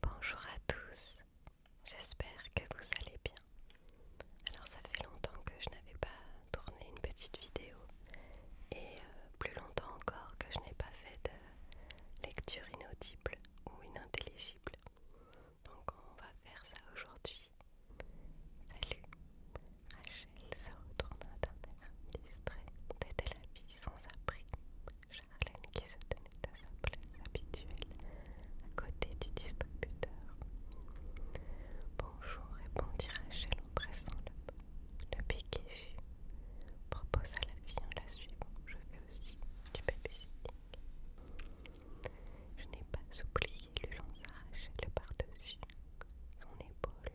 Bonjour à tous, j'espère que vous allez bien. Alors ça fait longtemps que je n'avais pas tourné une petite vidéo et euh, plus longtemps encore que je n'ai pas fait de lecture inaudible ou inintelligible. Donc on va faire ça aujourd'hui. Salut, Rachel se retourne la distrait, la vie sans appris Charlène, qui se tenait à sa place habituelle, à côté du distributeur. Bonjour, répondit Rachel en pressant le, le piquet suit. Propose à la vie, en la suivant Je fais aussi du babysitting. Je n'ai pas oublié, lui le Rachel par-dessus son épaule.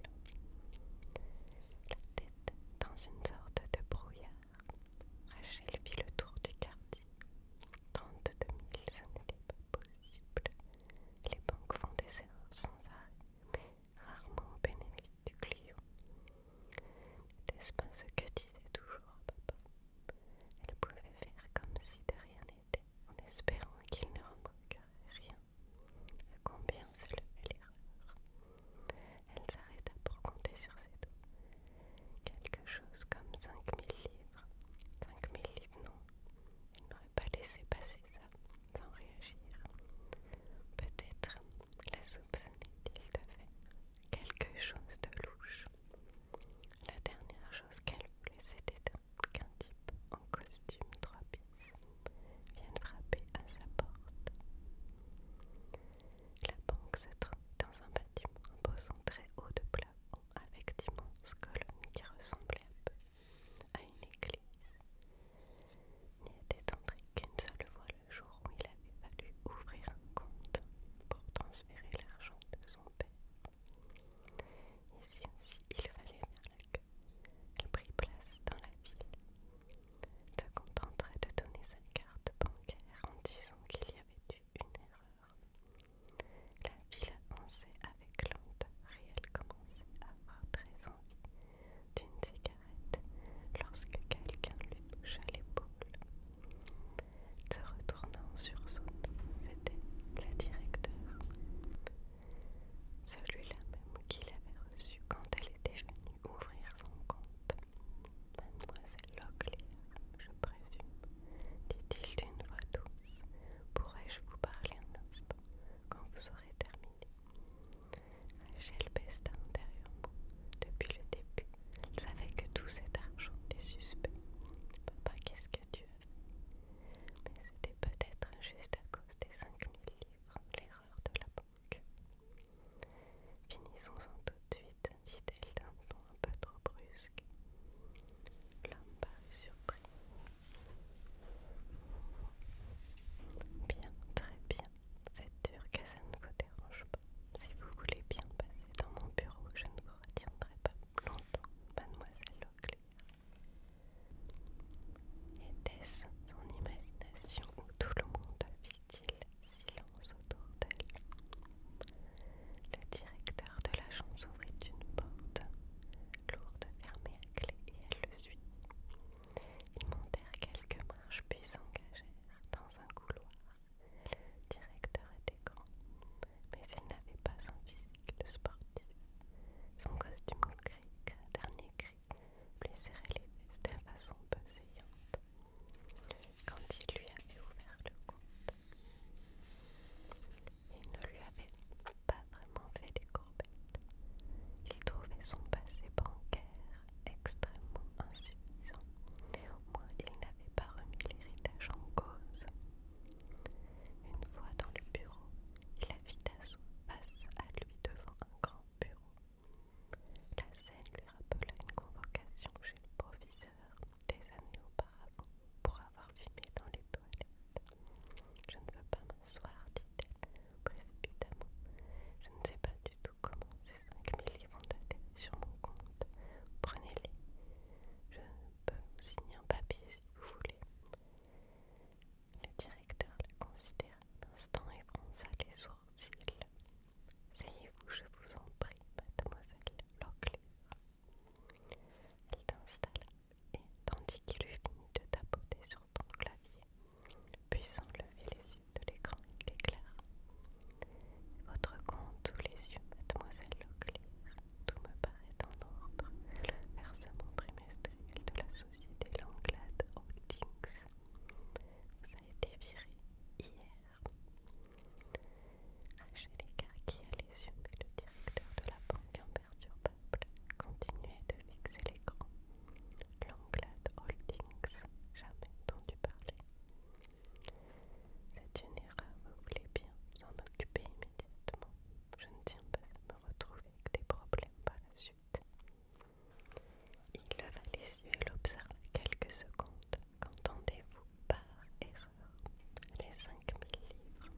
La tête dans une sorte de brouillard Rachel vit le tour du quartier. 32 000, ça n'était pas possible. Les banques font des erreurs sans arrêt, mais rarement au bénéfice du client. N'était-ce pas ce que disait toujours papa Elle pouvait faire comme si de rien n'était, en espérant qu'il ne remarquerait rien. À combien fait l'erreur elle s'arrêta pour compter sur ses doigts. Quelque chose comme 5000 livres. 5000 livres, non. Il n'aurait pas laissé passer ça sans réagir. Peut-être la soupe quelque chose de louche. La dernière chose qu'elle voulait, c'était qu'un type en costume trois pièces vienne frapper à sa porte. La banque se trouvait dans un bâtiment posant très haut de plafond avec d'immenses colonnes qui ressemblaient un peu à une église. N'y était entré qu'une seule fois le jour où il avait fallu ouvrir un compte pour transférer l'argent de son père. Ici aussi, il fallait faire la queue. Elle prit place dans la ville se contenterait de donner sa carte bancaire en disant qu'il y avait eu une erreur. La ville avançait avec lenteur et elle commençait à avoir très envie d'une cigarette lorsque quelqu'un lui toucha l'épaule. Se retournant sur sursaut, c'était le directeur. Celui-là même qu'il avait reçu quand elle était venue ouvrir son compte. Mademoiselle Locklear, je présume, dit-il d'une voix douce, pourrais-je vous parler un instant quand vous aurez terminé Rachel pesta intérieurement. Depuis le début, il savait que tout cet argent était suspect. Papa, qu'est-ce que tu as fait Mais c'était peut-être juste à cause des 5000 livres l'erreur de la banque. Finissons-en tout de suite, dit-elle d'un ton un peu trop brusque. L'homme parut surpris. Bien, très bien. Cette dur, ça ne vous dérange pas. Si vous voulez bien passer dans mon bureau, je ne vous retiendrai pas longtemps, mademoiselle Leclerc. Était-ce son imagination où tout le monde a vit silence autour d'elle. Le directeur de l'agence ouvrit une porte, lourde fermée à clé, et elle le suit. Ils montèrent quelques marches puis s'engagèrent dans un couloir. Le directeur était grand, mais il n'avait pas son physique de sportif. Son costume gris, dernier cri, lui les fesses de façon pesante quand il lui avait ouvert le compte. Il ne lui avait pas vraiment fait des courbettes. Il trouvait son passé bancaire extrêmement insuffisant. Au moins, il n'avait pas remis l'héritage en cause. Une fois dans le bureau, il vitesse son face à lui devant un grand bureau la scène lui rappela une convocation chez le professeur des années auparavant pour avoir filmé dans les toilettes. Je ne veux pas m'asseoir, dit-elle précipitamment. Je ne sais pas du tout comment ces 5000 livres vont atterri sur mon compte. Prenez-les. Je peux signer un papier si vous voulez. Le directeur la considéra un instant et fronça les sourcils sayez vous je vous en prie, mademoiselle Locklear. Elle t'installe et, tandis qu'il eut fini de tapoter sur ton clavier, puis sans les yeux de l'écran, il t'éclaire. Votre compte tous les yeux, mademoiselle Locklear, tout me paraît en ordre. versement trimestriel de la société Langlade Holdings ça a été viré hier. À ah, chez les yeux, mais le directeur de la banque imperturbable continuait de fixer l'écran. grands. Langlade Holdings, jamais entendu parler. C'est une erreur, vous voulez bien vous en occuper immédiatement. Je ne tiens pas à me retrouver avec des problèmes par la suite. Il leva les yeux et l'observa quelques secondes. Qu'entendez-vous par erreur Les 5000 livres.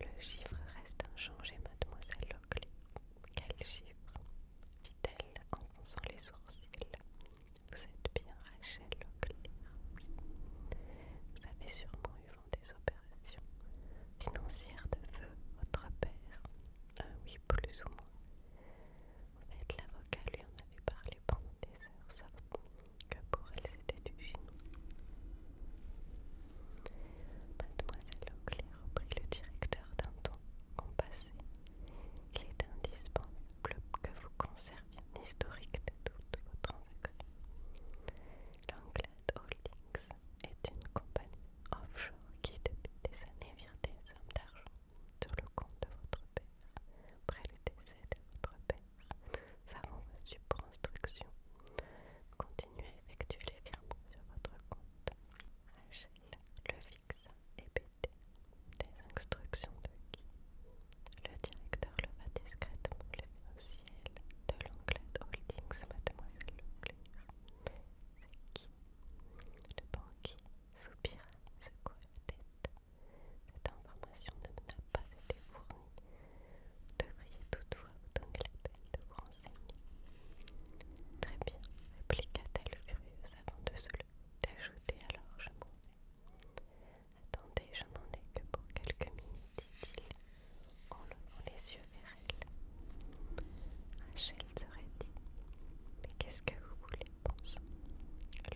Le chiffre reste inchangé, mademoiselle Lockley. Quel chiffre fit-elle en fonçant les sourcils. Vous êtes bien Rachel Lockley. Vous avez sûrement eu vent des opérations financières de feu, votre père. Ah oui, plus ou moins. En fait, l'avocat lui en avait parlé pendant des heures, sauf que pour elle c'était du chinois. Mademoiselle Auclair reprit le directeur d'un ton compassé. Il est indispensable que vous conserviez un historique de toutes vos transactions. Langlade Holdings est une compagnie offshore qui depuis des années vire des hommes sur le compte de votre père après le décès de votre père. Savant reçu pour instruction. Continuez à effectuer les virements sur votre compte. HL, le fixe et BT. Des instructions de qui Le directeur le va discrètement le au ciel de l'onglet Holdings, mademoiselle Leclerc. C'est qui le banquier soupira, secoua la tête. Cette information ne nous a pas été fournie. Vous devriez toutefois vous donner la de vous renseigner. Très bien, répliqua-t-elle furieuse avant de se le d'ajouter alors je m'en vais. Attendez, je n'en ai que pour quelques minutes, dit-il, en levant les yeux vers elle serait dit. Mais qu'est-ce que vous voulez, pense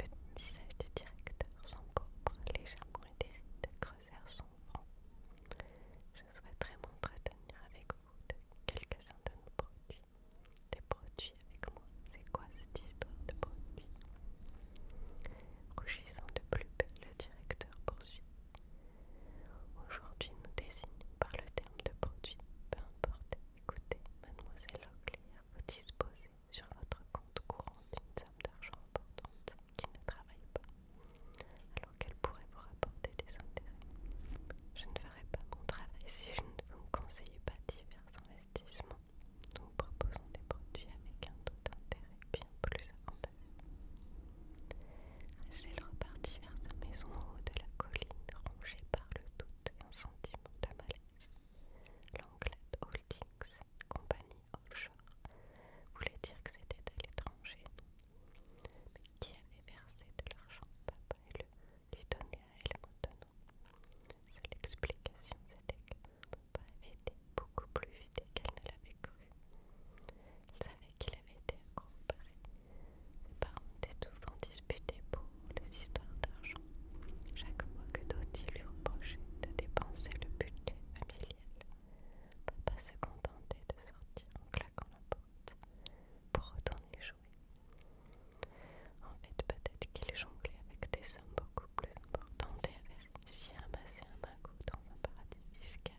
Le visage du directeur, sans propre, légèrement de creusèrent son front. Je souhaiterais m'entretenir avec vous de quelques-uns de nos produits. Des produits avec moi, c'est quoi cette histoire de produits Rougissant de plus belle, le directeur poursuit. Aujourd'hui, nous désignons par le terme de produit, peu importe Écoutez, mademoiselle a vous disposez sur votre compte courant d'une somme d'argent importante qui ne travaille pas, alors qu'elle pourrait vous rapporter des intérêts. Je ne ferai pas mon travail si je ne vous conseillais pas divers investissements. Nous proposons des produits avec un taux d'intérêt bien plus avantageux. Angèle repartit vers la maison en haut de la colline, rongée par le doute et un sentiment de malaise. Langlade Holdings, compagnie offshore, voulait dire que c'était à l'étranger, mais qui avait versé de l'argent papa et le lui donnait à elle maintenant. Seule explication, c'était que papa avait été beaucoup plus vite qu'elle ne l'avait cru. Elle savait qu'il avait été accro les parents étaient souvent disputés pour les histoires d'argent, chaque fois que Dottie lui reprochait de dépenser le budget familial. Papa se contentait de sortir en claquant la porte pour retourner jouer. En fait, peut-être qu'il jonglait avec des sommes beaucoup plus importantes et avait réussi à un dans un paradis fiscal.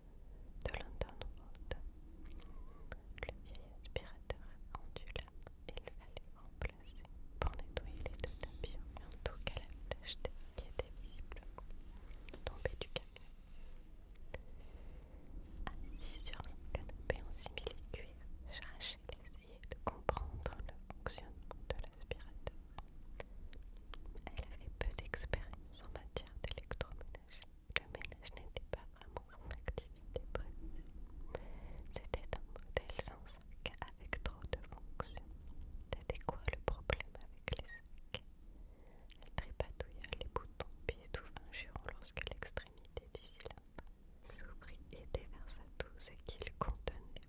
de London Road. Le vieil aspirateur ondula et il fallait remplacer pour nettoyer les deux tapis en tout cas la qui était visible tombée du camion. Assise sur son canapé en simili-cuir, à essayait de comprendre le fonctionnement de l'aspirateur. Elle avait peu d'expérience en matière d'électroménager. Le ménage n'était pas vraiment son activité prévue. C'était un modèle sans sac avec trop de fonctions. C'était quoi le problème avec les sacs Elle trépatouilla les boutons puis tout un lorsque l'extrémité du cylindre s'ouvrit et déversa tout ce qu'il contenait.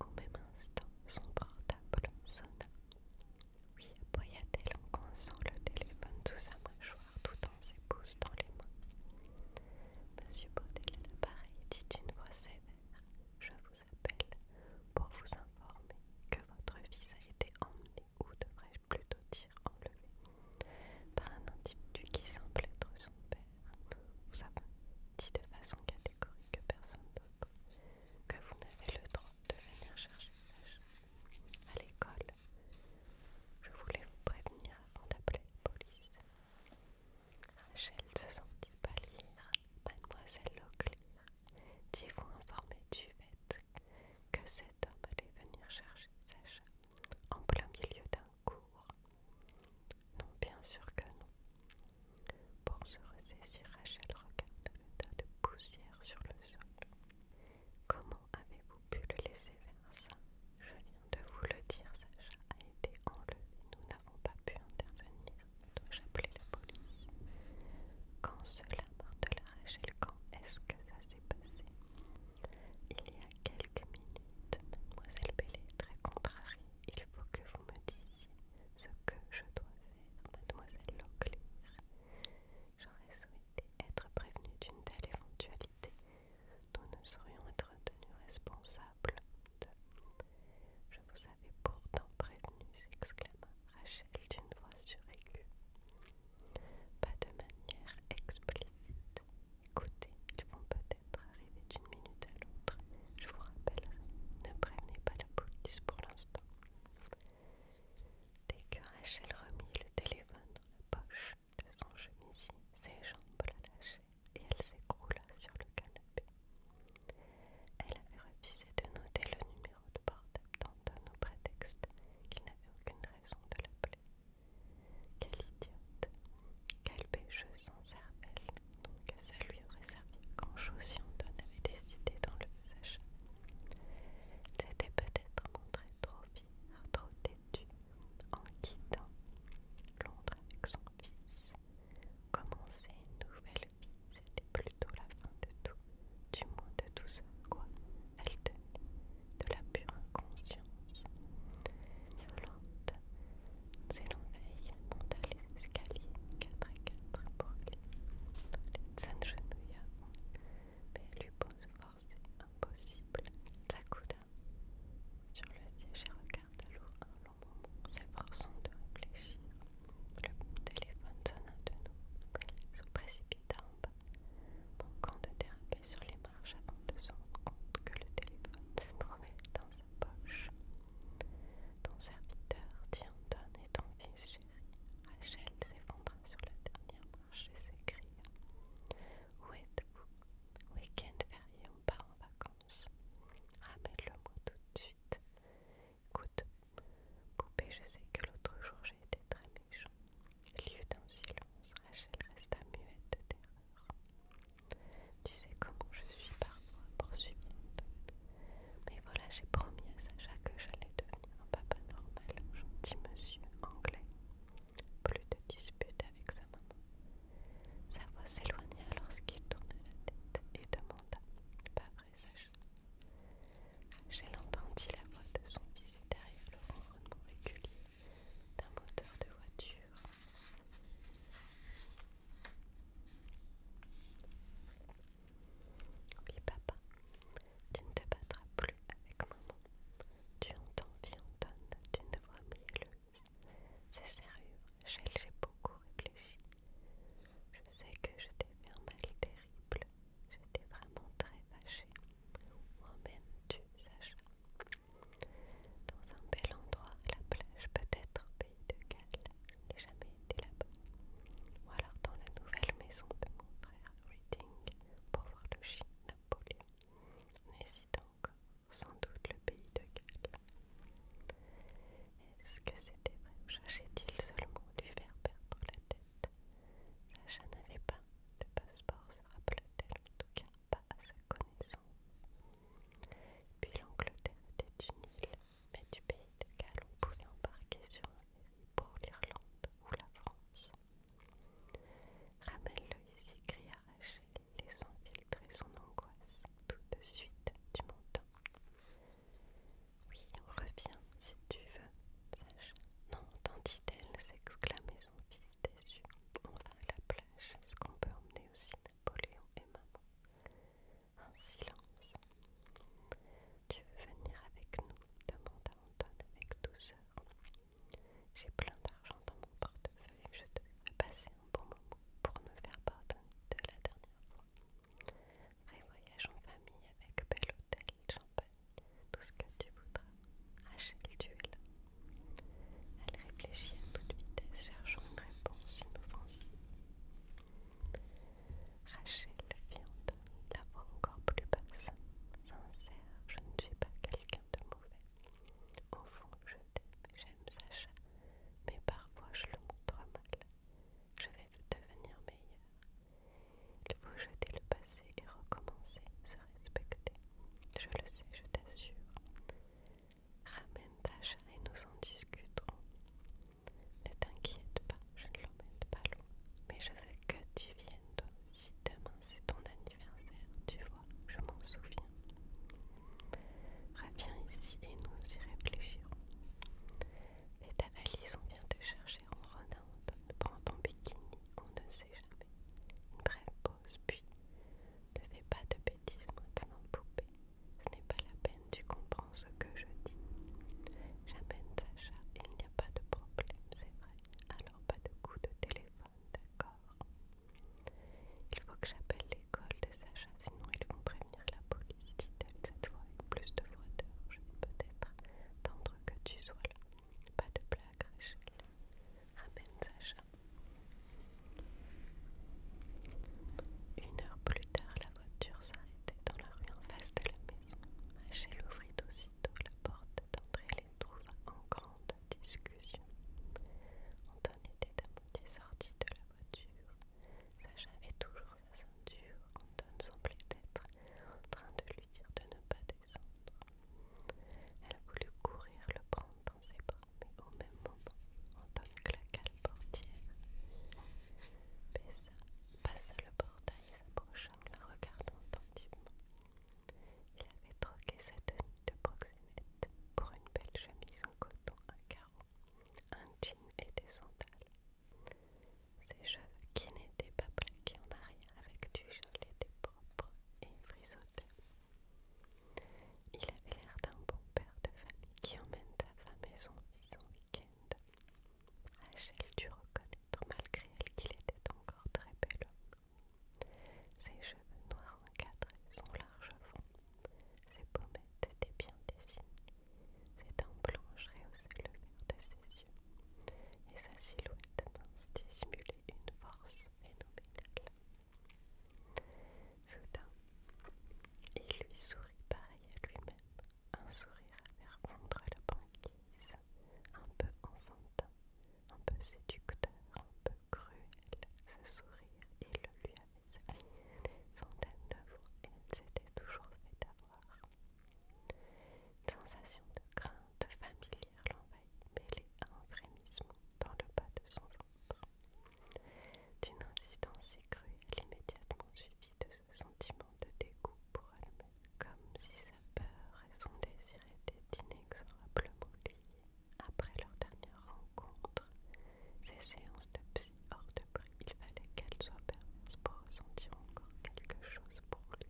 Au même instant, son portable sonna. Oui, appuya t le téléphone sous sa mâchoire tout en ses pouces dans les mains. Monsieur Baudel pareil, dit d'une voix sévère. Je vous appelle pour vous informer que votre fils a été emmené, ou devrais-je plutôt dire enlevé, par un individu qui semble être son père. Vous avez dit de façon catégorique que personne d'autre, que vous n'avez le droit de venir chercher à l'école. Je voulais vous prévenir avant d'appeler la police. Rachel se sentit pâlir. Mademoiselle Leclerc dit-vous informer du fait que cet homme allait venir chercher Sage en plein milieu d'un cours Non, bien sûr que non. Pour se ressaisir, Rachel regarde le tas de poussière sur le sol. Comment avez-vous pu le laisser faire ça Je viens de vous le dire, Sacha a été enlevé. Nous n'avons pas pu intervenir. Dois-je appeler la police Quand cela, la Rachel, quand est-ce que ça s'est passé Il y a quelques minutes, mademoiselle Bellé est très contrariée. Il faut que vous me disiez ce que je dois faire mademoiselle Leclerc. J'aurais souhaité être prévenue d'une telle éventualité. Nous ne serions être tenus responsables de... Je vous avais pourtant prévenu, s'exclama Rachel d'une voix suraiguë. Pas de manière explicite. Écoutez, ils vont peut-être arriver d'une minute à l'autre. Je vous rappellerai. Ne prévenez pas la police pour l'instant. Dès que Rachel remit le téléphone dans la poche de son chemisier, ses jambes la lâchaient et elle s'écroula sur le canapé. Elle avait refusé de noter le numéro de porte dans au prétexte qu'il n'avait aucune raison de l'appeler. Quelle idiote Quel bêcheuse sans cervelle Donc ça lui aurait quand chose avait dans le sachet. C'était peut-être montrer trop fier, trop têtu, en quittant Londres avec son fils. Commencer une nouvelle vie, c'était plutôt la fin de tout, du moins de tout ce quoi elle tenait, de la pure inconscience. Violente, s'élanveille, monta Scali 4 à 4 pour les toilettes mais mais force et impossible coude sur le siège et regarde l'eau un long moment s'efforçant de réfléchir le téléphone sonne de nouveau se précipita en bas manquant de déraper sur les marches avant de se rendre compte que le téléphone se trouvait dans sa poche ton serviteur, Dianton, et ton fils Rachel s'effondra sur la dernière marche et s'écria Où êtes-vous Week-end férié, on part en vacances. Ramène-le-moi tout de suite. Écoute, poupée, je sais que l'autre jour j'ai été très méchant. Lieu d'un silence, Rachel resta muette de terreur. Tu sais comment je suis parfois poursuivante. Mais voilà, j'ai promis à Sacha que j'allais devenir un papa normal, un gentil monsieur anglais. Plus de disputes avec sa maman. Sa voix s'éloigna lorsqu'il tourna la tête et demanda Pas vrai, Sacha J'ai entendu la voix de son fils derrière le ronronnement régulier d'un moteur de voiture. Oui papa, tu ne te battras plus avec maman. Tu entends bien ne d'une voix mielleuse. C'est sérieux, j'ai beaucoup réfléchi. Je sais que je t'ai fait un mal terrible. J'étais vraiment très fâchée. Où emmènes-tu, Sacha Dans un bel endroit, la plage peut-être pays de Galles, je n'ai jamais été là-bas. Ou alors dans la nouvelle maison de mon frère Reading pour voir le chien Napoléon. N'hésite encore, sans doute le pays de Galles. Est-ce que c'était vrai ou cherchait-il seulement lui faire perdre la tête Sacha n'avait pas de passeport, sur t elle en tout cas pas à sa connaissance. Puis l'Angleterre était une île mais du pays de Galles on pouvait embarquer sur un pour l'Irlande ou la France. Ramène-le ici, cria Rachel, laissant filtrer son angoisse tout de suite du montant. Oui, on revient si tu veux, Non, dit elle s'exclamait son fils déçu. On va à la plage. Est-ce qu'on peut emmener aussi Napoléon et maman un silence. Tu veux venir avec nous demanda Anton avec douceur. J'ai plein d'argent dans mon portefeuille et je te passer un bon moment pour me faire pardonner de la dernière fois. Vrai voyage en famille avec bel hôtel, champagne, tout ce que tu voudras. Achète tu es Elle réfléchit à toute vitesse, cherchant une réponse inoffensive. Rachel viande, la encore plus basse. Sincère, je ne suis pas quelqu'un de mauvais. Au fond, je t'aime j'aime Sacha, mais parfois je le montre mal. Je vais devenir meilleur. Il faut jeter le passé et recommencer, se respecter. Je le sais, je t'assure. Ramène Sacha et nous en discuterons. Ne t'inquiète pas, je ne l'emmène pas loin. Mais je veux que tu viennes toi aussi. Demain, c'est ton anniversaire, tu vois, je m'en souviens. Reviens ici et nous y réfléchirons. Et ta valise, on vient te chercher en renante. Prends ton bikini, on ne sait jamais. Une brève pause, puis ne fais pas de bêtises maintenant, poupée. Ce n'est pas la peine, tu comprends ce que je dis. J'amène Sacha, il n'y a pas de problème, c'est vrai. Alors pas de coup de téléphone, d'accord Il faut que j'appelle l'école de Sacha, sinon ils vont prévenir la police, dit-elle cette fois avec plus de froideur. Je vais peut-être tendre que tu sois là. Pas de blague, Rachel. Amène Sacha. Une heure plus tard, la voiture s'arrêtait dans la rue en face de la maison. Rachel ouvrit aussitôt la porte d'entrée et les trouva en grande discussion. Anton était à moitié sorti de la voiture. Sacha avait toujours sa ceinture. Anton semblait être en train de lui dire de ne pas descendre. Elle a voulu courir le prendre dans ses bras, mais au même moment, Anton claqua portière passe le portail s'approcha en regardant attentivement. Il avait troqué sa tenue de proxénète pour une belle chemise en coton à carreaux, un jean et des sandales. Ses cheveux, qui n'étaient pas plaqués en arrière avec du gel, étaient propres et frisotés. Il avait l'air d'un bon père de famille qui emmène sa femme et son fils en week-end. Rachel dut reconnaître malgré elle qu'il était encore très bel Ses cheveux noirs encadraient son large front, ses pommettes étaient bien dessinées, ses dents blanches rehaussaient le vert de ses yeux, et sa silhouette mince dissimulait une force phénoménale. Soudain, il lui sourit pareil à lui-même, un sourire à faire la banquise, un peu enfantin, un peu séducteur, un peu cruel, ce sourire, et le lui avait servi centaines de fois et il s'était toujours fait avoir. Une sensation de crainte familière l'envahit, mêlée à un frémissement dans le bas de son ventre. D'une insistance si cruelle, immédiatement suivie de sentiment de dégoût pour elle-même, comme si sa peur et son désir étaient inexorablement liés. Après leur dernière rencontre, ces séances de psy hors de prix, il fallait qu'elle soit permise pour ressentir encore quelque chose pour lui.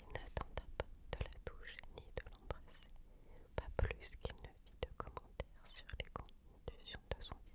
Il n'attendait pas de la toucher ni de l'embrasser, pas plus qu'il ne vit de commentaires sur les conditions de son visage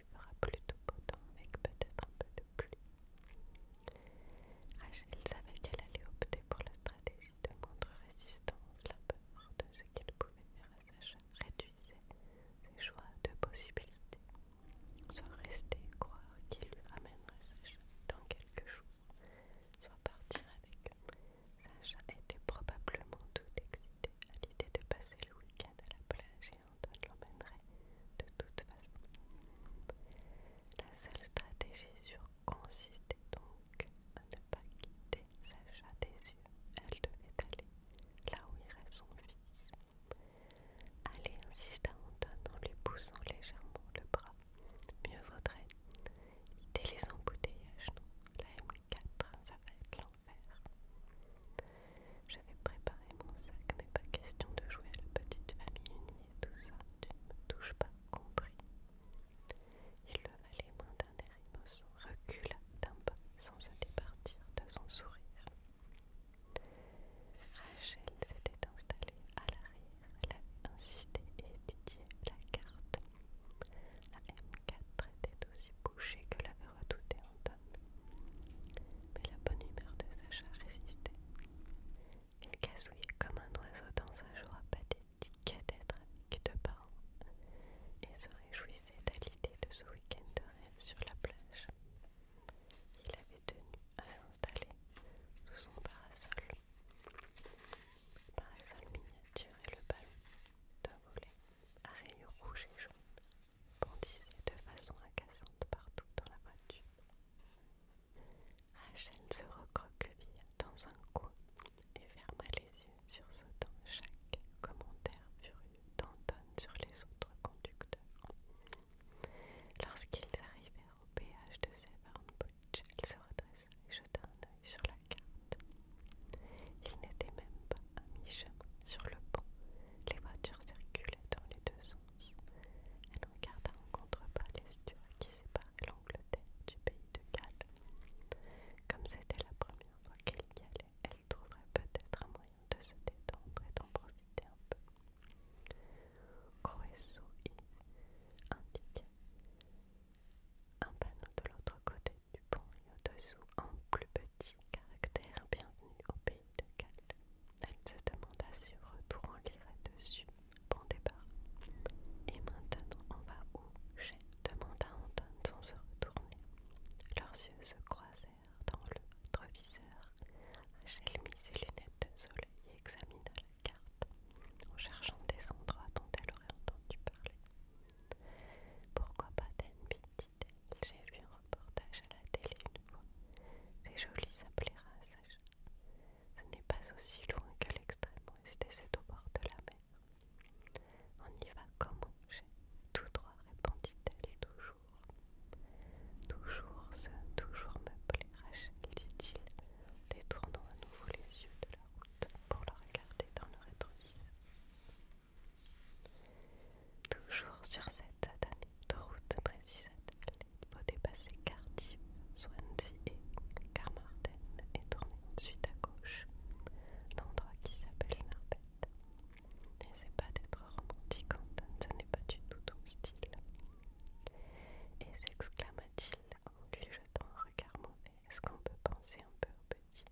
il fera plutôt beau temps avec peut-être un peu de pluie. Rachel savait qu'elle allait opter pour la stratégie de moindre résistance, la peur de ce qu'elle pouvait faire à Sacha réduisait ses choix de possibilités, soit rester croire qu'il lui ramènerait Sacha dans quelques jours, soit partir avec eux. Sacha était probablement tout excité à l'idée de passer le week-end à la plage Hein, de toute façon. La seule stratégie sûre consistait donc à ne pas quitter Sacha des yeux. Elle devait aller là où irait son fils. Allez, à Anton en lui poussant légèrement le bras. Mieux vaudrait. Dès les embouteillages, La M4, ça va être l'enfer. J'avais préparé mon sac, mais pas question de jouer à la petite famille unie et tout ça, tu ne me touches pas, compris. Il le les mains d'un air innocent, recula d'un pas sans se départir de son sourire. Rachel s'était installée à l'arrière, elle avait insisté et étudié la carte. La M4 était aussi bouchée que la e redouté en Mais la bonne humeur de Sacha résistait. Il casouillait comme un oiseau dans un jour pathétique d'être avec deux parents et se réjouissait à l'idée de ce week-end sur la plage. Il avait tenu à s'installer sous son parasol. Parasol miniature et le ballon d'un volet à rayures rouges et jaunes bondissait de façon agaçante partout dans la voiture. Rachel se recroquevilla dans un coin et ferma les yeux, sur sursautant chaque commentaire furieux d'Anton sur les autres conducteurs. Lorsqu'ils arrivèrent au péage de Severn Butch, elle se redressa et jeta un œil sur la carte. Il n'était même pas à mi sur le pont. Les voitures circulaient dans les deux sens. Elle regarda en contrebas l'estuaire qui séparait l'Angleterre du pays de Galles. Comme c'était la première fois qu'elle y allait, elle trouverait peut-être un moyen de se détendre et d'en profiter un peu. et indiquait un panneau de l'autre côté du pont et au-dessous un plus petit caractère bienvenue au pays elle se demanda si retour en dessus. Bon départ. Et maintenant, on va où Chez demanda Anton sans se retourner. Leurs yeux se croisèrent dans l'autre viseur. Rachel mit ses lunettes de soleil et examina la carte en cherchant des endroits dont elle aurait entendu parler. Pourquoi pas Danby j'ai vu un reportage à la télé une fois. C'est joli, ça plaira, Sacha. Ce n'est pas aussi loin que l'extrême ouest et c'est au bord de la mer. On y va comme J'ai tout droit, répondit-elle toujours. Toujours ce, toujours me plaira, dit-il, détournant à nouveau les yeux de la route pour la regarder dans le rétroviseur. Toujours sur cette route, précisa il faut dépasser Cardiff, Swansea et Carmarthen et tourner ensuite à gauche, l'endroit qui s'appelle Narbette. N'essaie pas d'être romantique, Anton, ce n'est pas du tout ton style. Et s'exclama-t-il en lui jetant un regard mauvais, est-ce qu'on peut penser un peu au petit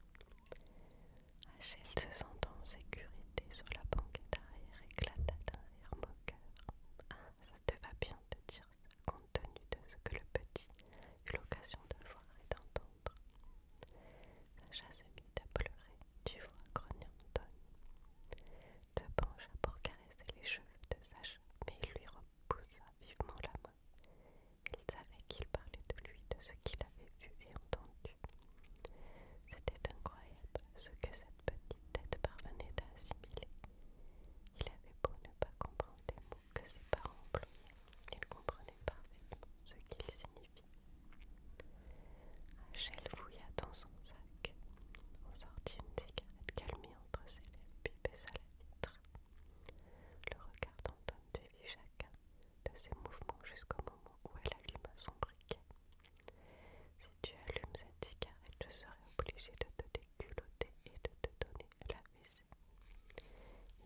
Hachette se sentant en sécurité sur la banquette arrière éclata d'un rire moqueur. Ah, ça te va bien de dire compte tenu de ce que le petit eut l'occasion de voir et d'entendre. Sacha se mit à pleurer, tu vois, en donne. Te pencha pour caresser les cheveux de Sacha, mais il lui repoussa vivement la main. Il savait qu'il parlait de lui, de ce qu'il avait vu et entendu. C'était incroyable ce que cette petite tête parvenait à assimiler. Il avait beau ne pas comprendre les mots que ses parents employaient, il comprenait parfaitement ce qu'ils signifiaient. Rachel fouilla dans son sac, en sortit une cigarette calmée entre ses lèvres, puis baissa la vitre. Le regard d'Anton chacun de ses mouvements jusqu'au moment où elle alluma son briquet. Si tu allumes cette cigarette, je serai obligée de te déculoter et de te donner la fessée.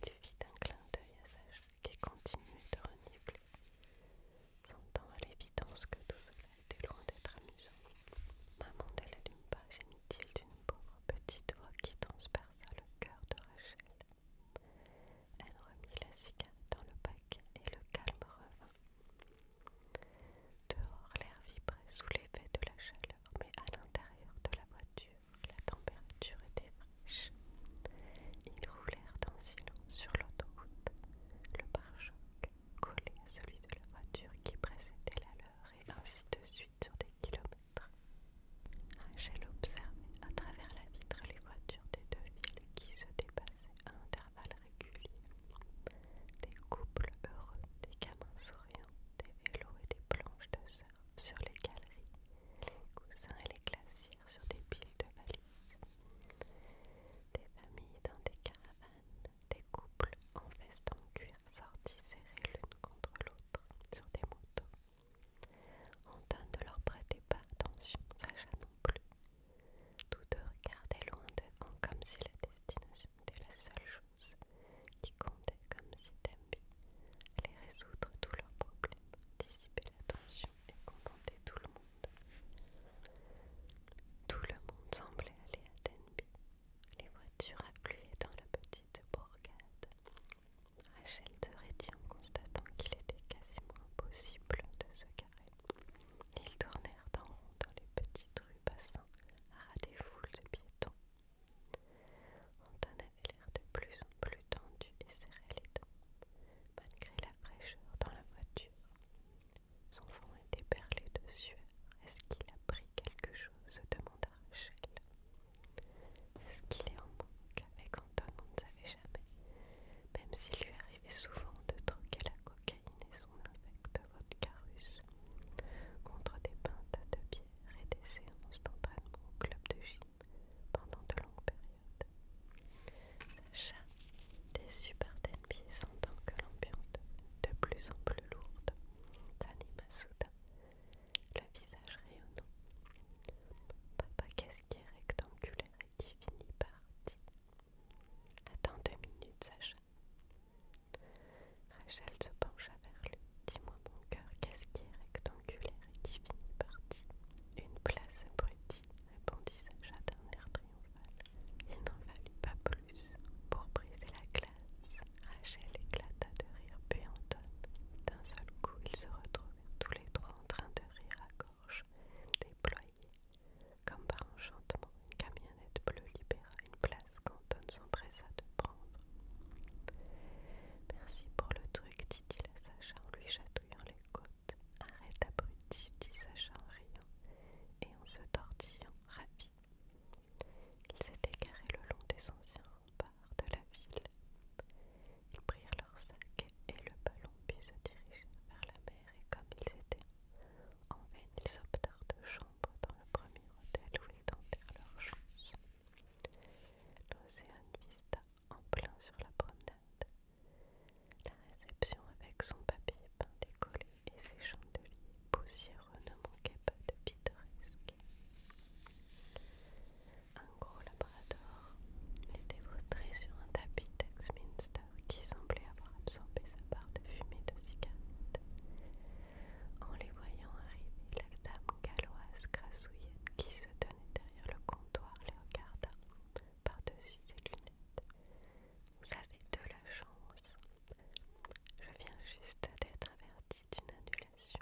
Il vit un clin d'œil à Sage qui continue de renifler, sentant à l'évidence que tout cela était loin d'être amusant. Maman ne l'allume pas, gémit-il d'une pauvre petite voix qui transperça le cœur de Rachel. Elle remit la cigare dans le bac et le calme revint. Dehors, l'air vibrait sous l'effet de la chaleur, mais à l'intérieur de la voiture, la température était fraîche. Ils roulèrent en silence sur l'autoroute, le pare collé à celui de la voiture qui précédait la leur et ainsi de suite sur des kilomètres. Rachel observait à travers la vitre les voitures des deux villes qui se à intervalles réguliers. Des couples heureux, des gamins souriants, des vélos et des planches de surf sur les galeries, les coussins et les glacières sur des piles de valises. Des familles dans des caravanes, des couples en veste en cuir sortis serrés l'une contre l'autre sur des motos. Anton ne leur prêtait pas attention, Sacha non plus. Tous deux regardaient loin devant comme si la destination était la seule chose qui comptait, comme si Tambi allait résoudre tous leurs problèmes, dissiper la tension et contenter tout le monde. Tout le monde semblait aller à Tenby. Les voitures affluaient dans la petite bourgade. Rachel de rédit en constatant qu'il était quasiment impossible de se garer. Ils tournèrent en dans les petites rues passant à ras des foules de piétons. Anton avait l'air de plus en plus tendu et serrait les dents, malgré la fraîcheur dans la voiture. Son front était perlé de sueur. Est-ce qu'il a pris quelque chose demanda Rachel. Est-ce qu'il est en manque avec Anton On ne savait jamais. Même s'il lui et souvent de troquer la cocaïne et son de vodka-russe contre des pintes de bière et des séances d'entraînement au club de gym pendant de longues périodes. des déçu par Denby sentant que l'ambiance de plus en plus lourde s'anime soudain, le visage rayonnant. Papa qu'est-ce qui est rectangulaire qui finit par Attends deux minutes, Sacha. Rachel se pencha vers lui. Dis-moi, mon cœur, qu'est-ce qui est rectangulaire et qui finit par Une place abruti !» répondit Sacha d'un air triomphal. Il n'en pas plus. Pour briser la glace, Rachel éclata de rire, puis D'un seul coup, ils se retrouvèrent tous les trois en train de rire à gorge déployée comme par enchantement, une camionnette bleue libéra une place qu'Anton s'empressa de prendre. Merci pour le truc, dit-il à Sacha en lui chatouillant les côtes. Arrête, abruti, dit Sacha en riant et en se tortillant, ravi. Il s'est égaré le long des anciens remparts de la ville. Ils prirent leur sac et le ballon puis se dirigèrent vers la mer et comme ils étaient en vain ils optèrent de chambre dans le premier hôtel où ils tentèrent leurs choses. L'Océan Vista en plein sur la promenade. La réception avec son papier peint décollé et ses chandeliers poussiéreux ne manquait pas de pittoresque. Les était vautré sur un tapis d'Exminster qui semblait avoir absorbé sa part de fumée de cigarette. En les voyant arriver, la dame galloise grassouillette qui se tenait derrière le comptoir les regarda par-dessus ses lunettes. Vous avez de la chance. Je viens juste d'être avertie d'une annulation.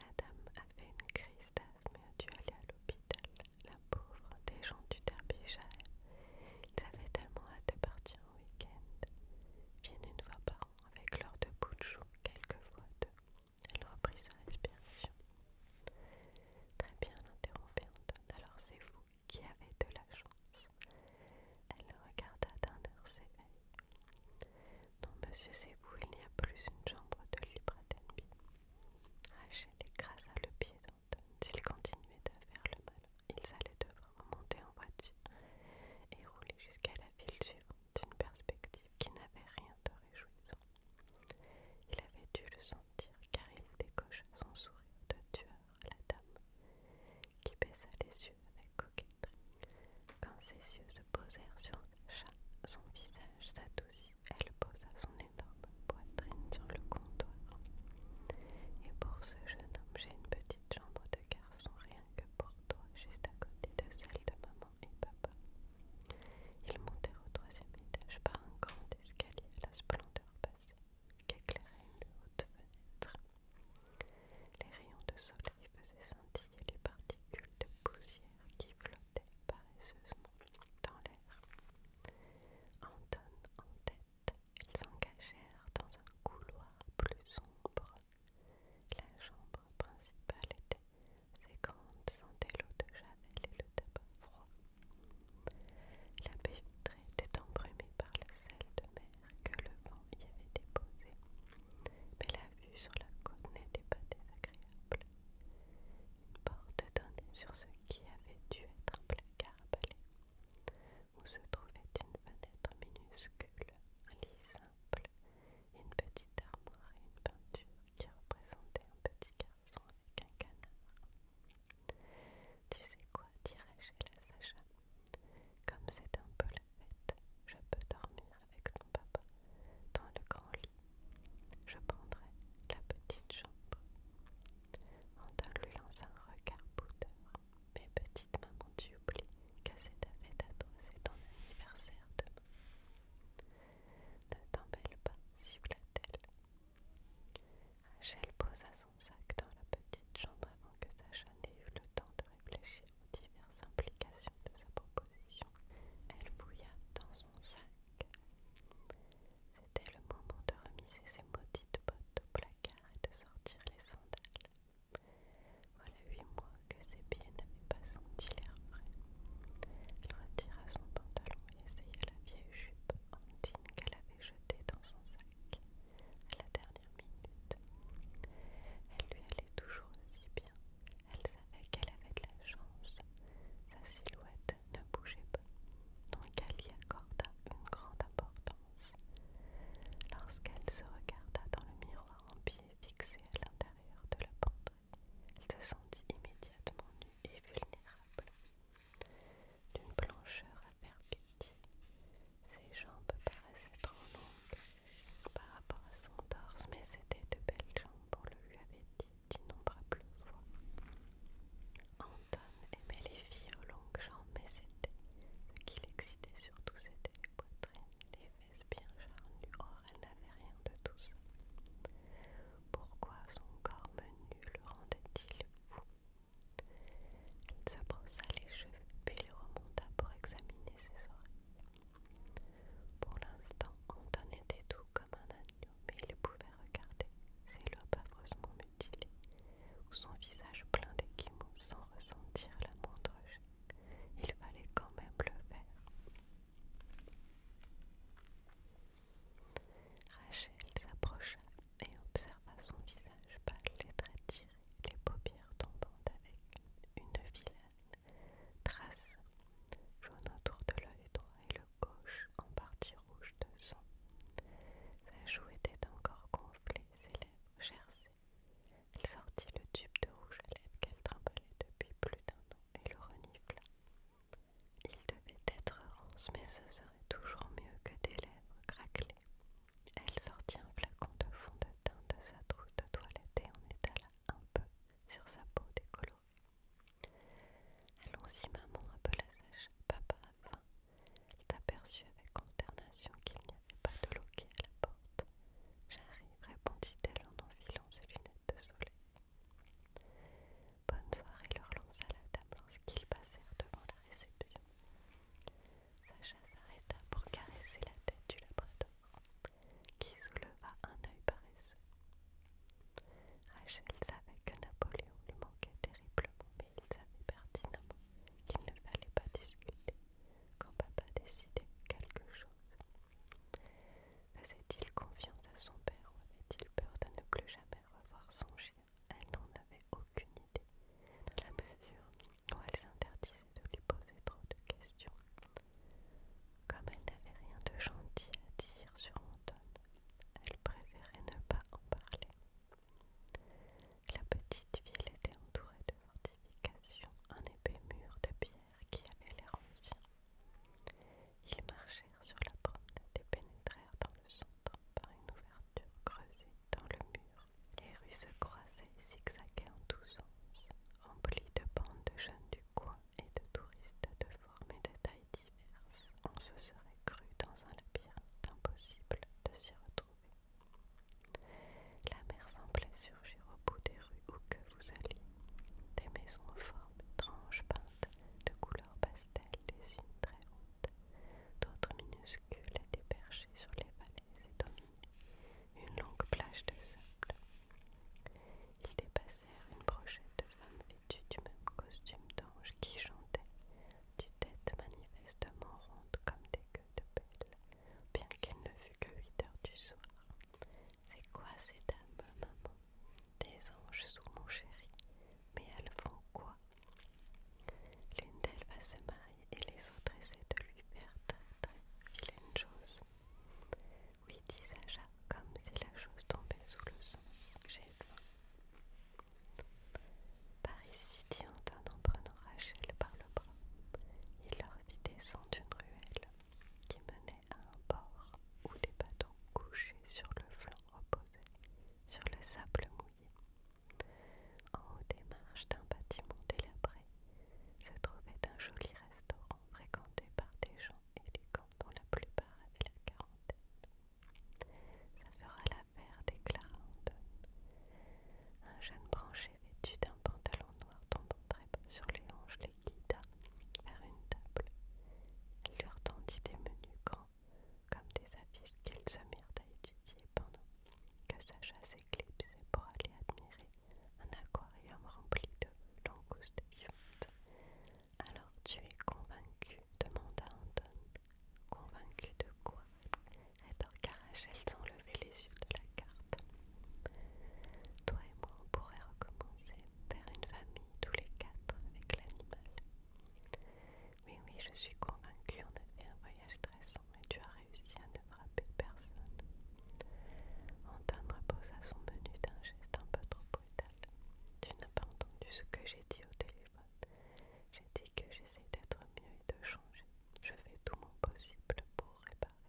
La dame avait une crise d'asthme et a dû aller à l'hôpital la pauvre des gens du Derbyshire. Ils avaient tellement hâte de partir en week-end. Viennent une fois par an avec leur deux bouts de chou, quelquefois deux. Elle reprit sa respiration. Très bien, interrompit Alors c'est vous qui avez de la chance. Elle le regarda d'un air sévère. Non, monsieur, c'est vous, il n'y a plus une chambre de libre Rachel écrasa le pied d'Anton. S'il continuait à faire le mal, il allaient devoir monter en voiture et rouler jusqu'à la ville suivante, une perspective qui n'avait rien de réjouissant. Il avait dû le sentir car il décocha son sourire de tueur à la dame, qui baissa les yeux avec coquetterie. Quand ses yeux se posèrent sur le chat, son visage s'adoucit, elle posa son énorme poitrine sur le comptoir. Et pour ce jeune homme, j'ai une petite chambre de garçon rien que pour toi, juste à côté de celle de maman et papa. Ils montèrent au troisième étage par un grand escalier à la splendeur passée éclairait une haute fenêtre. Les rayons de soleil faisaient scintiller les particules de poussière qui flottaient paresseusement dans l'air. Anton en tête, ils s'engagèrent dans un couloir plus sombre. La chambre principale était ses sentait l'eau de javel et le tabac froid. La baie vitrée était embrumée par le sel de mer que le vent y avait déposé, mais la vue sur la côte n'était pas désagréable. Une porte donnait sur ce qui avait dû être un placard à balai, où se trouvait une fenêtre minuscule, un lit simple, une petite armoire et une peinture qui représentait un petit garçon avec un canard. Tu sais quoi, dirais-je la Sacha Comme c'est un peu la fête, je peux dormir avec ton papa dans le grand lit je prendrai la petite chambre. Anton lui lança un regard poudre. « Mais petite maman, tu oublies qu'à cette fête à c'est ton anniversaire demain. Ne t'embelle pas, si t elle Rachel posa son sac dans la petite chambre avant que Sacha n'ait eu le temps de réfléchir aux diverses implications de sa proposition. Elle bouilla dans son sac c'était le moment de remiser ses maudites bottes au placard et de sortir les sandales. Voilà huit mois que ses pieds n'avaient pas senti l'air frais. Elle retira son pantalon et essaya la vieille jupe en jean qu'elle avait jetée dans son sac à la dernière minute. Elle lui allait toujours aussi bien, elle savait qu'elle avait de la chance. Sa silhouette ne bougeait pas, donc elle y accorda une grande importance. Lorsqu'elle se regarda dans le miroir en pied fixé à l'intérieur de la pente, elle se sentit immédiatement nue et vulnérable. D'une blancheur à faire ses jambes paraissaient trop longues par rapport à son torse, mais c'était de belles jambes, on le lui avait dit d'innombrables fois. Anton aimait les filles aux longues jambes, mais c'était ce qui l'excitait surtout, c'était les poitrines, les fesses bien charnues. Or, elle n'avait rien de tout ça. Pourquoi son corps menu le rendait-il fou Elle se brossa les cheveux, puis les remonta pour examiner ses oreilles. Pour l'instant, Anton était doux comme un mais il pouvait regarder ses lobes affreusement mutilés, ou son visage plein d'équimaux sans ressentir la moindre gêne. Il fallait quand même le faire. Rachel s'approcha et observa son visage pâle, les traits tirés, les paupières tombantes avec une vilaine trace jaune autour de l'œil droit et le gauche en partie rouge de sang. Sa joue était encore gonflée, ses lèvres gercées. Elle sortit le tube de rouge à lèvres qu'elle trimbalait depuis plus d'un an et le renifla. Il devait être rose, mais ce serait toujours mieux que des lèvres craquelées. Elle sortit un flacon de fond de teint de sa trousse de toilette et en étala un peu sur sa peau décolorée. Allons-y, maman, appela Sacha. Papa a faim. Il t'aperçut avec consternation qu'il n'y avait pas de loquet à la porte. J'arrive, répondit-elle en enfilant ses lunettes de soleil. Bonne soirée leur lança la table lorsqu'ils passèrent devant la réception. Sacha s'arrêta pour caresser la tête du labrador, qui souleva un œil paresseux. Rachel savait que Napoléon lui manquait terriblement, mais il savait pertinemment qu'il ne fallait pas discuter quand papa décidait quelque chose. Faisait-il confiance à son père ou avait-il peur de ne plus jamais revoir son chien Elle n'en avait aucune idée, dans la mesure où elle s'interdisait de lui poser trop de questions. Comme elle n'avait rien de gentil à dire sur Anton, elle préférait ne pas en parler. La petite ville était entourée de fortifications, un épais mur de pierre qui avait l'air ancien. Ils marchèrent sur la promenade et pénétrèrent dans le centre par une ouverture creusée dans le mur. Les rues se croisaient et zigzagaient en tous sens, remplies de bandes de jeunes du coin et de touristes de formes et de tailles diverses, on se serait cru dans un labyrinthe impossible de s'y retrouver. La mer semblait surgir au bout des rues où que vous alliez, des maisons aux formes étranges peintes de couleurs pastel, des unes très hautes, d'autres minuscules et déperchées sur les vallées et dominées, une longue plage de sable. Il dépasse une brochette de femmes vêtues du même costume d'ange qui chantait, du tête manifestement ronde comme des queues de pelle, bien qu'il ne fût que 8 heures du soir. C'est quoi ces dames, maman Des anges sous mon chéri. Mais elles font quoi L'une d'elles va se marier et les autres essaient de lui faire très très une chose. Oui, dit Sacha, comme si la chose tombait sous le son J'ai Par ici, dit en prenant Rachel par le bras. Il leur vit descendre une ruelle qui menait à un port où des bâtons couchés sur le flanc reposaient sur le sable mouillé. En haut des marches d'un bâtiment délabré se trouvait un joli restaurant fréquenté par des gens gants dont la plupart avaient la quarantaine. Ça fera l'affaire, déclara Anton. Un jeune branché vêtu d'un pantalon noir tombant très bas sur les hanches les guida vers une table. Elle leur tendit des menus grands comme des affiches qu'ils se mirent à étudier pendant que sa chasse éclipsait pour aller admirer un aquarium rempli de langoustes vivantes, alors tu es convaincu demanda Anton. Convaincu de quoi elles ont levé les yeux de la carte. Toi et moi, on pourrait recommencer, faire une famille tous les quatre avec l'animal. Oui, oui, je suis convaincue, on a fait un voyage stressant et tu as réussi à ne frapper personne. Anton reposa son menu d'un geste un peu trop tu n'as pas entendu ce que j'ai dit au téléphone. J'ai dit que j'essaie d'être mieux et de changer. Je fais tout mon possible pour réparer.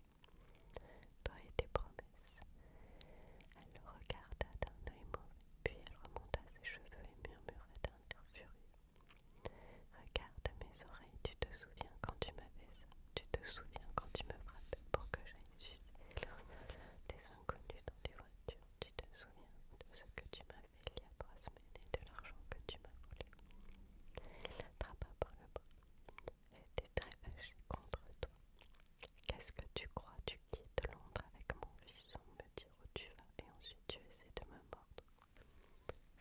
Toi et tes promesses. Elle le regarda d'un œil mauvais, puis elle remonta ses cheveux et murmura d'un air furieux. Regarde mes oreilles, tu te souviens quand tu m'avais ça, tu te souviens quand tu me frappais pour que j'aille sucer tes Inconnu dans tes voitures. Tu te souviens de ce que tu m'as fait il y a trois semaines et de l'argent que tu m'as volé. Il l'attrapa par le bras. J'étais très fâché contre toi. Qu'est-ce que tu crois Tu quittes Londres avec mon fils sans me dire où tu vas et ensuite tu essaies de me mordre.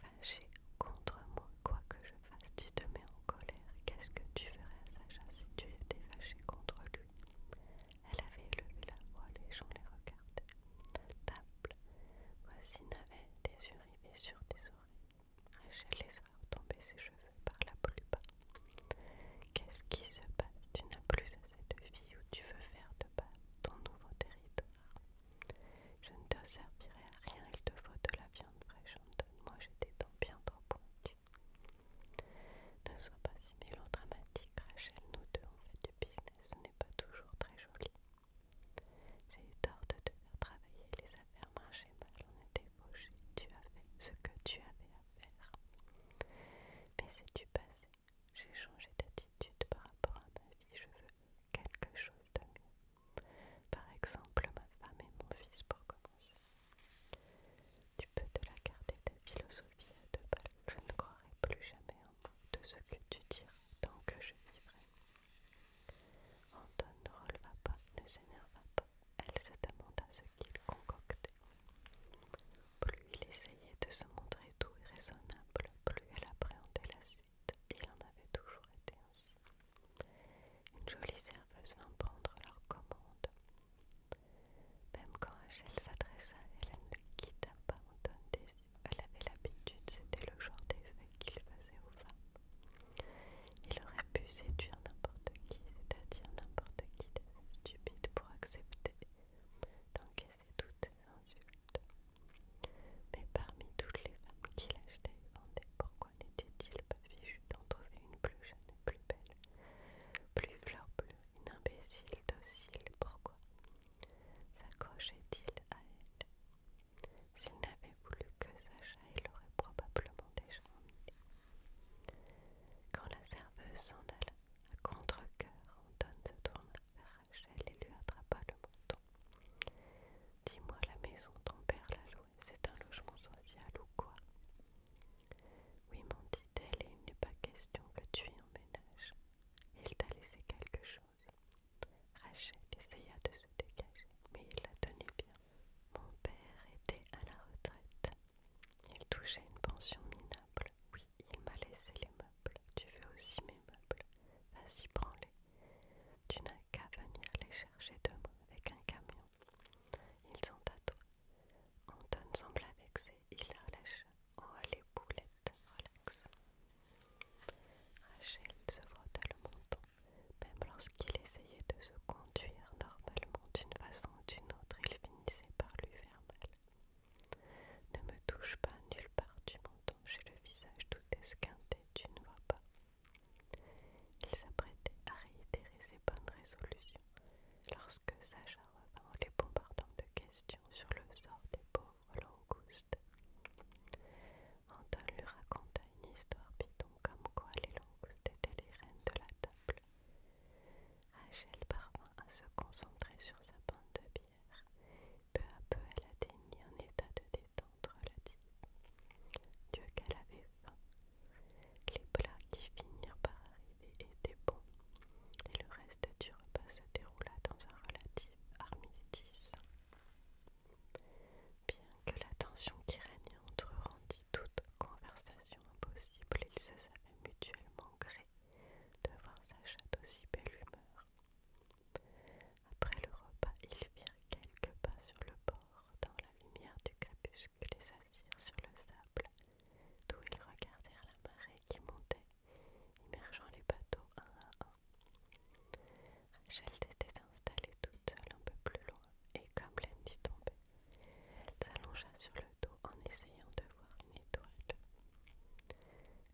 Fâché contre moi, quoi que je fasse, tu te mets en colère. Qu'est-ce que tu ferais à Sacha si tu étais fâché contre lui elle avait levé la voix, les gens les regardaient. Table, voisine avait des yeux rivés sur des oreilles. Rachel les tomber ses cheveux par la plupart. Qu'est-ce qui se passe Tu n'as plus assez de vie ou tu veux faire de bas ton nouveau territoire. Je ne te servirai à rien, il te faut de la viande fraîche, donne Moi, j'étais dans bien trop bon ne sois pas si mélodramatique, Rachel, nous deux on fait du business, ce n'est pas toujours très joli. J'ai eu tort de te faire travailler, les affaires marchaient mal, on était fauchés, tu as fait ce que tu avais à faire. Mais c'est du passé, j'ai changé d'attitude par rapport à ma vie, je veux quelque chose de mieux. Par exemple, ma femme et mon fils pour commencer. Tu peux te la garder ta philosophie de deux Je ne croirai plus jamais un mot de ce que tu diras tant que je vivrai. Anton ne releva pas, ne s'énerva pas. Elle se demanda ce qu'il concoctait. Plus il essayait de se montrer doux et raisonnable, plus elle appréhendait la suite. Il en avait toujours été ainsi. Une jolie serveuse vint prendre leur commande. Même quand Rachel s'adressa à elle, ne quitta pas Anton Elle avait l'habitude, c'était le genre d'effet qu'il faisait aux femmes. Il aurait pu séduire n'importe qui, c'est-à-dire n'importe qui stupide pour accepter d'encaisser toutes toute insultes. Mais parmi toutes les femmes qu'il achetait et vendait, pourquoi n'était-il pas j'ai fichu d'en trouver une plus jeune plus belle, plus fleur bleue, une imbécile docile, pourquoi S'accrochait-il à elle S'il n'avait voulu que Sacha, il aurait probablement déjà Quand la serveuse s'en alla, à contre-coeur, Anton se tourne vers Rachel et lui attrapa le menton. Dis-moi la maison, ton père la c'est un logement social ou quoi Oui, mon dit-elle, il n'est pas question que tu y emménages. Il t'a laissé quelque chose. Rachel essaya de se dégager, mais il la tenait bien. Mon père était à la retraite. Il touchait une pension minable. Oui, il m'a laissé les meubles. Tu veux aussi mes meubles Vas-y, prends-les. Tu n'as qu'à venir les chercher demain avec un camion. Ils sont à toi. Anton sembla vexé, il la lâcha Oh les boulettes, relax. Rachel se frotta le menton, même lorsqu'il essayait de se conduire normalement d'une façon ou d'une autre, il finissait par lui faire mal. Ne me touche pas nulle part du menton, j'ai le visage tout esquinté, tu ne vois pas. Il s'apprêtait à réitérer ses bonnes résolutions lorsque Sacha revint les bombardant de questions sur le sort des pauvres langoustes. Anton lui raconta une histoire piton comme quoi les langoustes étaient les reines de la table. Rachel parvint à se concentrer sur sa pinte de bière. Peu à peu, elle atteignit un état de détente relative. Dieu qu'elle avait faim, les plats qui finirent par arriver étaient bons, et le reste du repas se déroula dans un relatif armistice. Bien que la tension qui régnait entre eux rendit toute conversation impossible, ils se savaient mutuellement gré de voir sa chatte aussi belle humeur. Après le repas, ils firent quelques pas sur le bord dans la lumière du crépuscule et sur le sable, d'où ils regardèrent la marée qui montait, immergeant les bateaux un à un. Rachel était installée toute seule un peu plus loin, et comme la nuit tombait, elle s'allongea sur le dos en essayant de voir une étoile.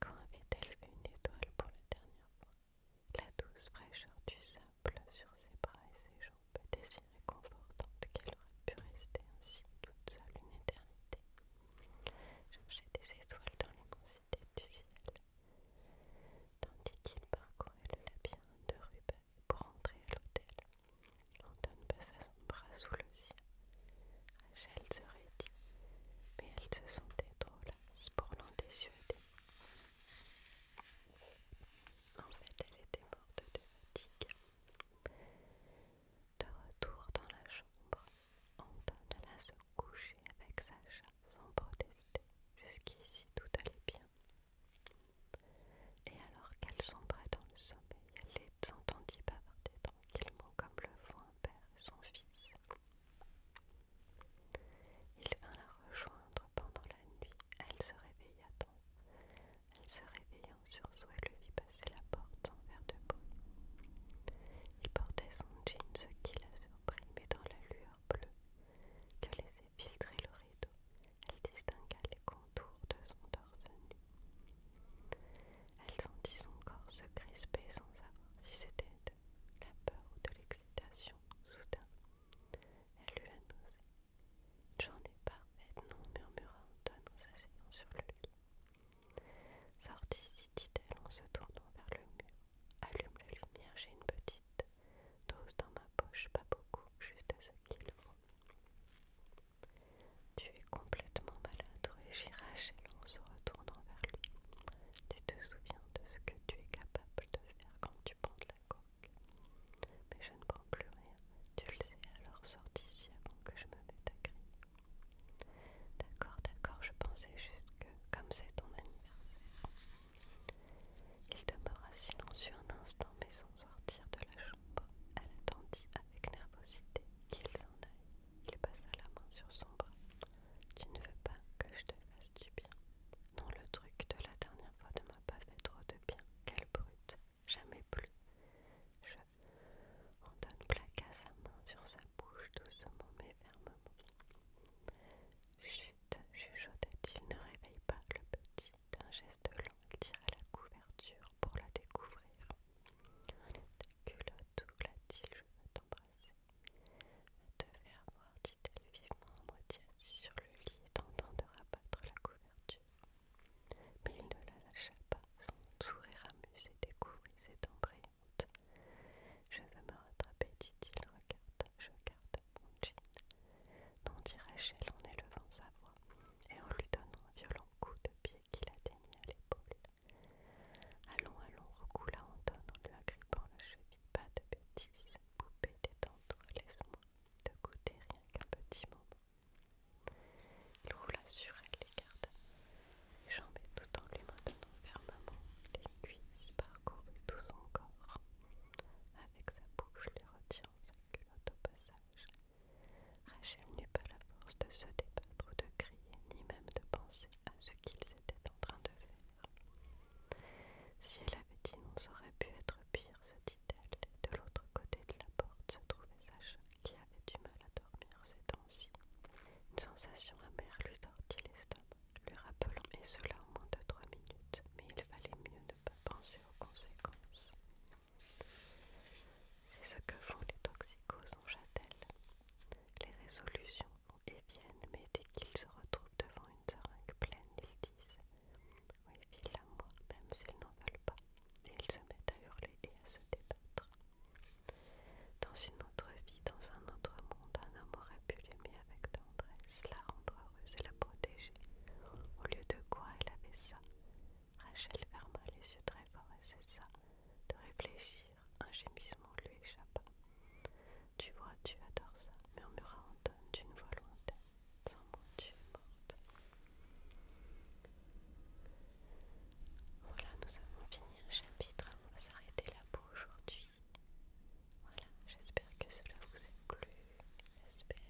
Quand avait-elle vu une étoile pour la dernière fois La douce fraîcheur du sable sur ses bras et ses jambes peut était si réconfortante qu'elle aurait pu rester ainsi toute seule une éternité, chercher des étoiles dans l'immensité du ciel, tandis qu'il parcourait le bien de Ruben pour entrer à l'hôtel. Anton passa son bras sous le sien. Rachel se mais elle se sentait trop lasse pour l'endécieuler. En fait, elle était morte de fatigue. De retour dans la chambre, Anton alla se coucher avec Sacha sans protester. Jusqu'ici tout allait bien. Et alors qu'elle sombrait dans le sommeil, elle les entendit bavarder tranquillement comme le font un père son fils. Il vint la rejoindre pendant la nuit, elle se réveilla donc. Elle se réveilla en sursaut et lui vit passer la porte sans verre de bruit. Il portait son jean, ce qui la surprit, mais dans la lueur bleue que laissait filtrer le rideau, elle distingua les contours de son torse nu. Elle sentit son corps se crisper sans savoir si c'était de la peur ou de l'excitation. Soudain, elle lui un ai pas pas, non murmura Anton en s'asseyant sur le lit. Sorti dit-elle en se tournant vers le mur. Allume la lumière, j'ai une petite dose dans ma poche, pas beaucoup, juste ce qu'il faut. Tu es complètement malade, régira Rachel en se retournant vers lui. Tu te souviens de ce que tu es capable de faire quand tu prends mais je ne prends plus rien. Tu le sais, alors sortis d'ici avant que je me mette à crier. D'accord, d'accord, je pensais juste que, comme c'est ton anniversaire. Il demeura silencieux un instant, mais sans sortir de la chambre. Elle attendit avec nervosité qu'il s'en aille. Il passa la main sur son bras. Tu ne veux pas que je te fasse du bien. Non, le truc de la dernière fois ne m'a pas fait trop de bien. Quelle brute jamais plus. Je plaque à sa main sur sa bouche doucement mais fermement. Chut, chuchota il ne réveille pas le petit. D'un geste lent, à la couverture pour la découvrir. culotte, je veux t'embrasser. te faire voir, dit-elle vivement, à moitié sur le lit, tentant de rabattre la couverture mais il ne la lâcha pas. Son sourire amusé découvrit ses dents Je veux me rattraper, dit-il. Regarde, je garde mon jean. Non, Rachel en élevant sa voix et en lui donnant un violent coup de pied qui l'atteignit à l'épaule. Allons, allons, recoula Anton en lui agrippant la cheville. Pas de bêtises, poupée, détends-toi, laisse-moi de goûter rien qu'un petit moment. Il roula sur elle les gardes, les jambes tout en lui maintenant fermement les cuisses parcourut tout son corps. Avec sa bouche les retirant sa culotte au passage. Rachel n'eut pas la force de se débattre ou de crier, ni même de penser à ce qu'ils étaient en train de faire. Si elle avait dit non, ça aurait pu être pire, se de l'autre côté de la porte se trouvait Sacha, qui avait du mal à dormir ces temps-ci. Une sensation amère lui sortit l'estomac, lui rappelant et cela au moins de trois minutes, mais il valait mieux ne pas penser aux conséquences. C'est ce que font les toxicos, en châtel. Les résolutions vont et viennent, mais dès qu'ils se retrouvent devant une seringue pleine, ils disent oui, file-la-moi, même s'ils n'en veulent pas. Et ils se mettent à hurler et à se débattre. Dans une autre vie, dans un autre monde, un homme aurait pu l'aimer avec tendresse, la rendre heureuse et la protéger. Au lieu de quoi elle avait ça. Rachel ferma les yeux très fort et cessa de réfléchir. Un gémissement lui échappa. Tu vois, tu adores ça, murmura Anton d'une voix lointaine. Sans mon dieu, Voilà, nous avons fini un chapitre. On va s'arrêter là pour aujourd'hui. Voilà, j'espère que cela vous a plu. J'espère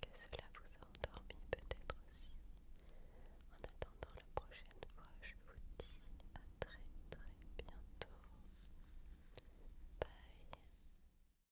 que cela vous a endormi peut-être aussi. En attendant la prochaine fois, je vous dis à très très bientôt. Bye.